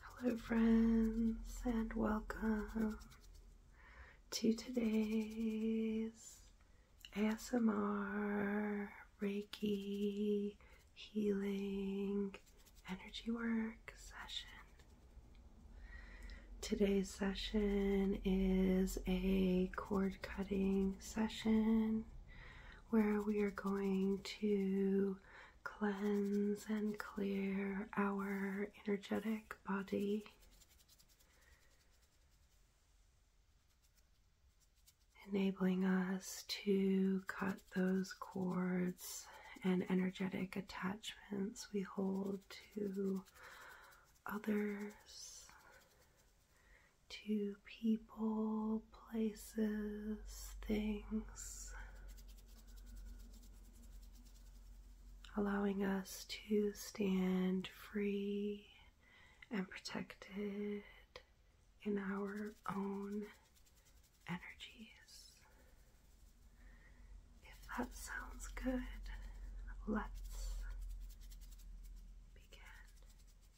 Hello, friends, and welcome to today's ASMR Reiki Healing Energy Work session. Today's session is a cord cutting session where we are going to cleanse and clear our energetic body. Enabling us to cut those cords and energetic attachments we hold to others to people, places, things, allowing us to stand free and protected in our own energies. If that sounds good, let's begin.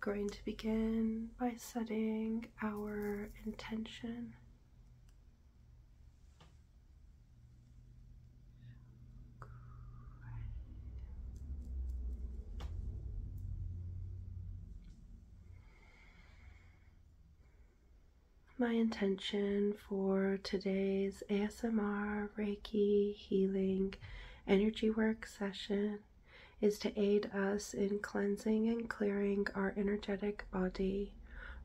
Going to begin by setting our intention my intention for today's ASMR Reiki healing energy work session is to aid us in cleansing and clearing our energetic body,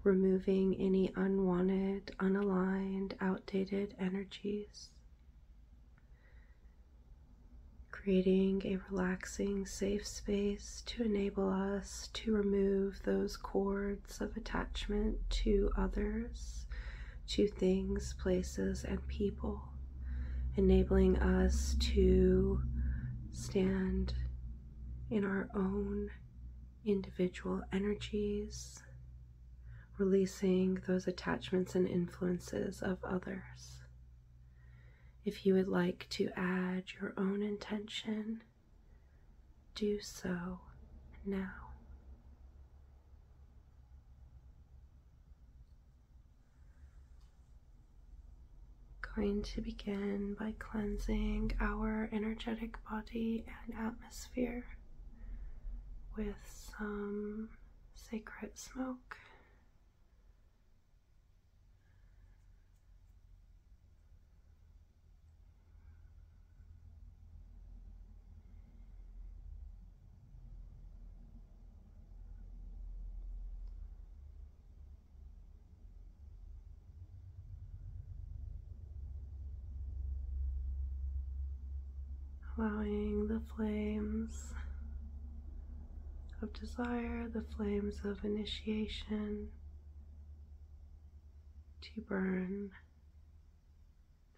removing any unwanted, unaligned, outdated energies. Creating a relaxing, safe space to enable us to remove those cords of attachment to others, to things, places, and people, enabling us to stand in our own individual energies, releasing those attachments and influences of others. If you would like to add your own intention do so now. Going to begin by cleansing our energetic body and atmosphere with some sacred smoke allowing the flames of desire, the flames of initiation, to burn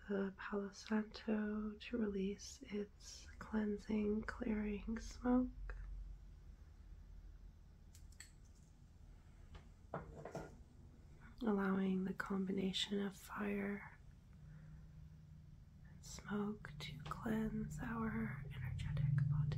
the Palo to release its cleansing, clearing smoke. Allowing the combination of fire and smoke to cleanse our energetic body.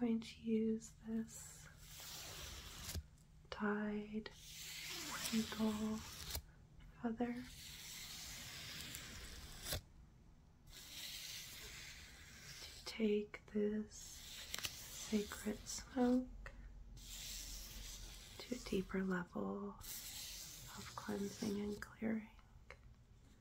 I'm going to use this dyed eagle feather. To take this sacred smoke to a deeper level of cleansing and clearing.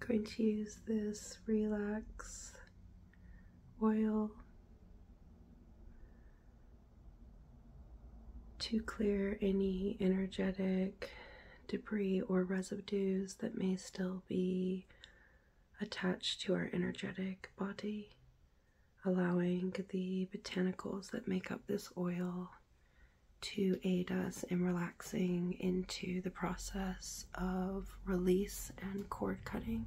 going to use this relax oil to clear any energetic debris or residues that may still be attached to our energetic body, allowing the botanicals that make up this oil to aid us in relaxing into the process of release and cord cutting.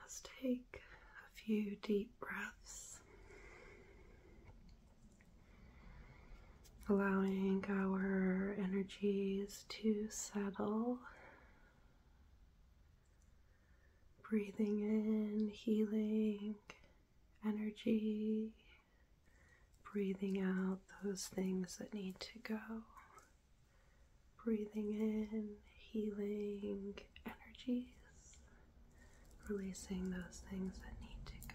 Let's take a few deep breaths, allowing our energies to settle, breathing in healing energy, breathing out those things that need to go breathing in healing energies, releasing those things that need to go.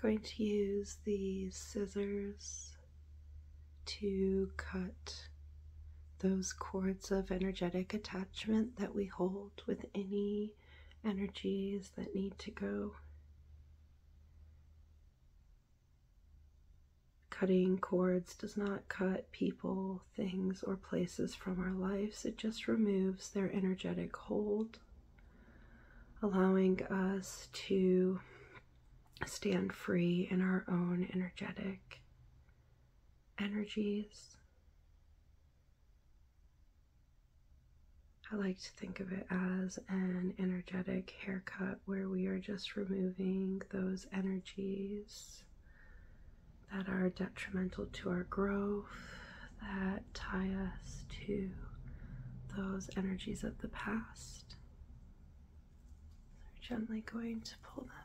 going to use these scissors to cut those cords of energetic attachment that we hold with any energies that need to go. Cutting cords does not cut people, things, or places from our lives. It just removes their energetic hold, allowing us to stand free in our own energetic energies. I like to think of it as an energetic haircut where we are just removing those energies that are detrimental to our growth, that tie us to those energies of the past. So we're gently going to pull them out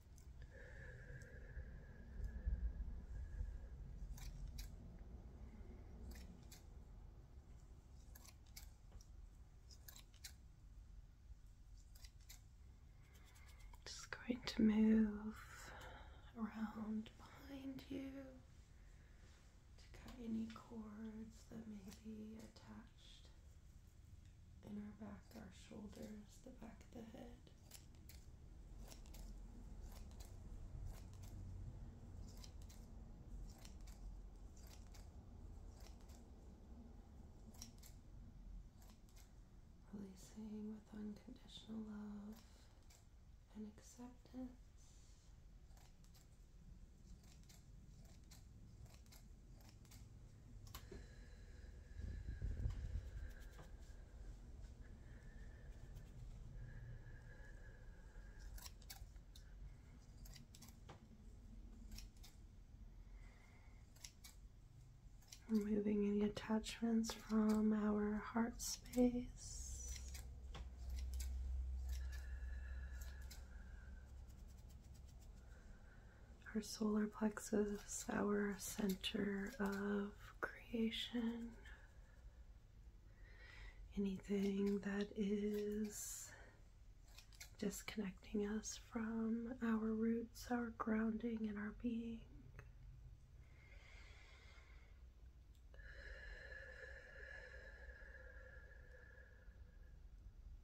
Just going to move around behind you to cut any cords that may be attached in our back, our shoulders, the back of the head. Releasing with unconditional love and acceptance. Removing any attachments from our heart space our solar plexus, our center of creation, anything that is disconnecting us from our roots, our grounding, and our being.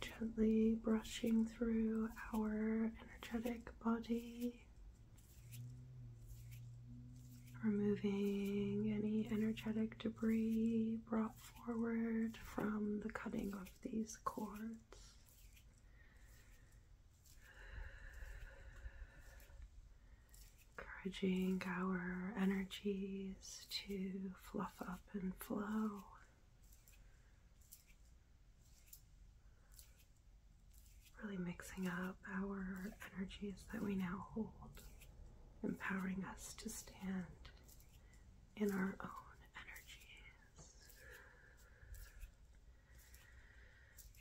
Gently brushing through our energetic body, removing any energetic debris brought forward from the cutting of these cords. Encouraging our energies to fluff up and flow. Really mixing up our energies that we now hold, empowering us to stand in our own energies.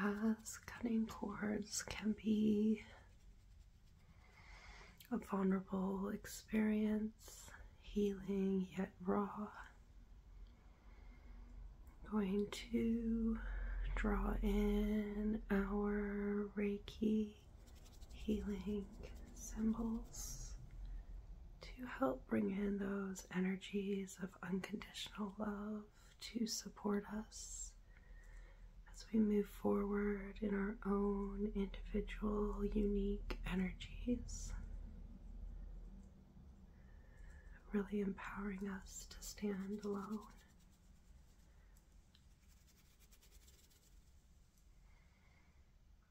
as cutting cords can be a vulnerable experience, healing yet raw, I'm going to draw in our Reiki healing symbols to help bring in those energies of unconditional love to support us as we move forward in our own individual, unique energies. Really empowering us to stand alone. Chocorate.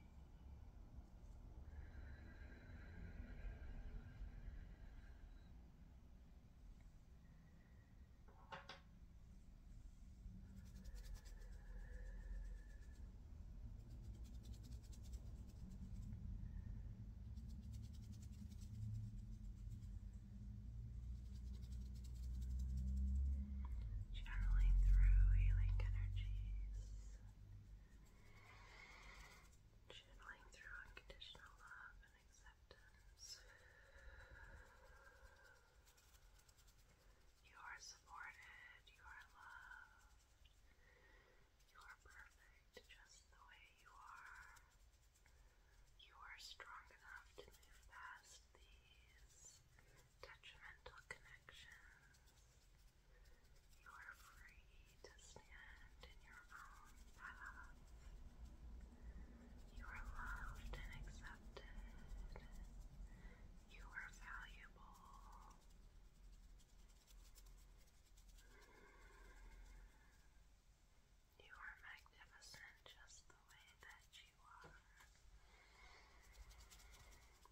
Channeling through healing energies Channeling through unconditional love and acceptance. You are supported, you are loved, you are perfect just the way you are. You are strong enough to move past these detrimental connections. You are free to stand in your own path. You are loved and accepted. You are valuable. You are magnificent just the way that you are.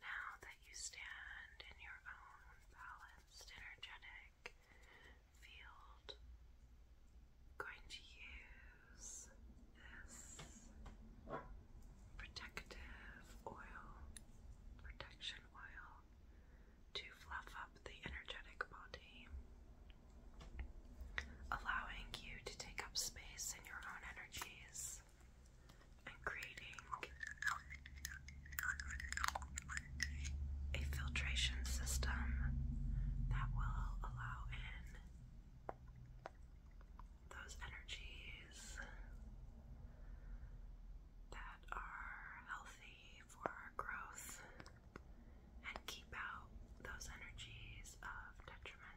Now that you stand in your own balanced, energetic field, going to use this protective oil, protection oil, to fluff up the energetic body, allowing you to take up space in your own energies and creating a filtration system that will allow in those energies that are healthy for our growth and keep out those energies of detriment.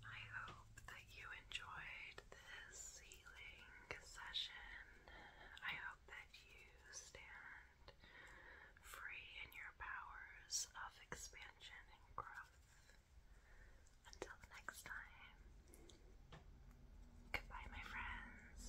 I hope that you enjoyed this healing session. I hope that you stand free in your powers of expansion and growth. Until next time, goodbye, my friends.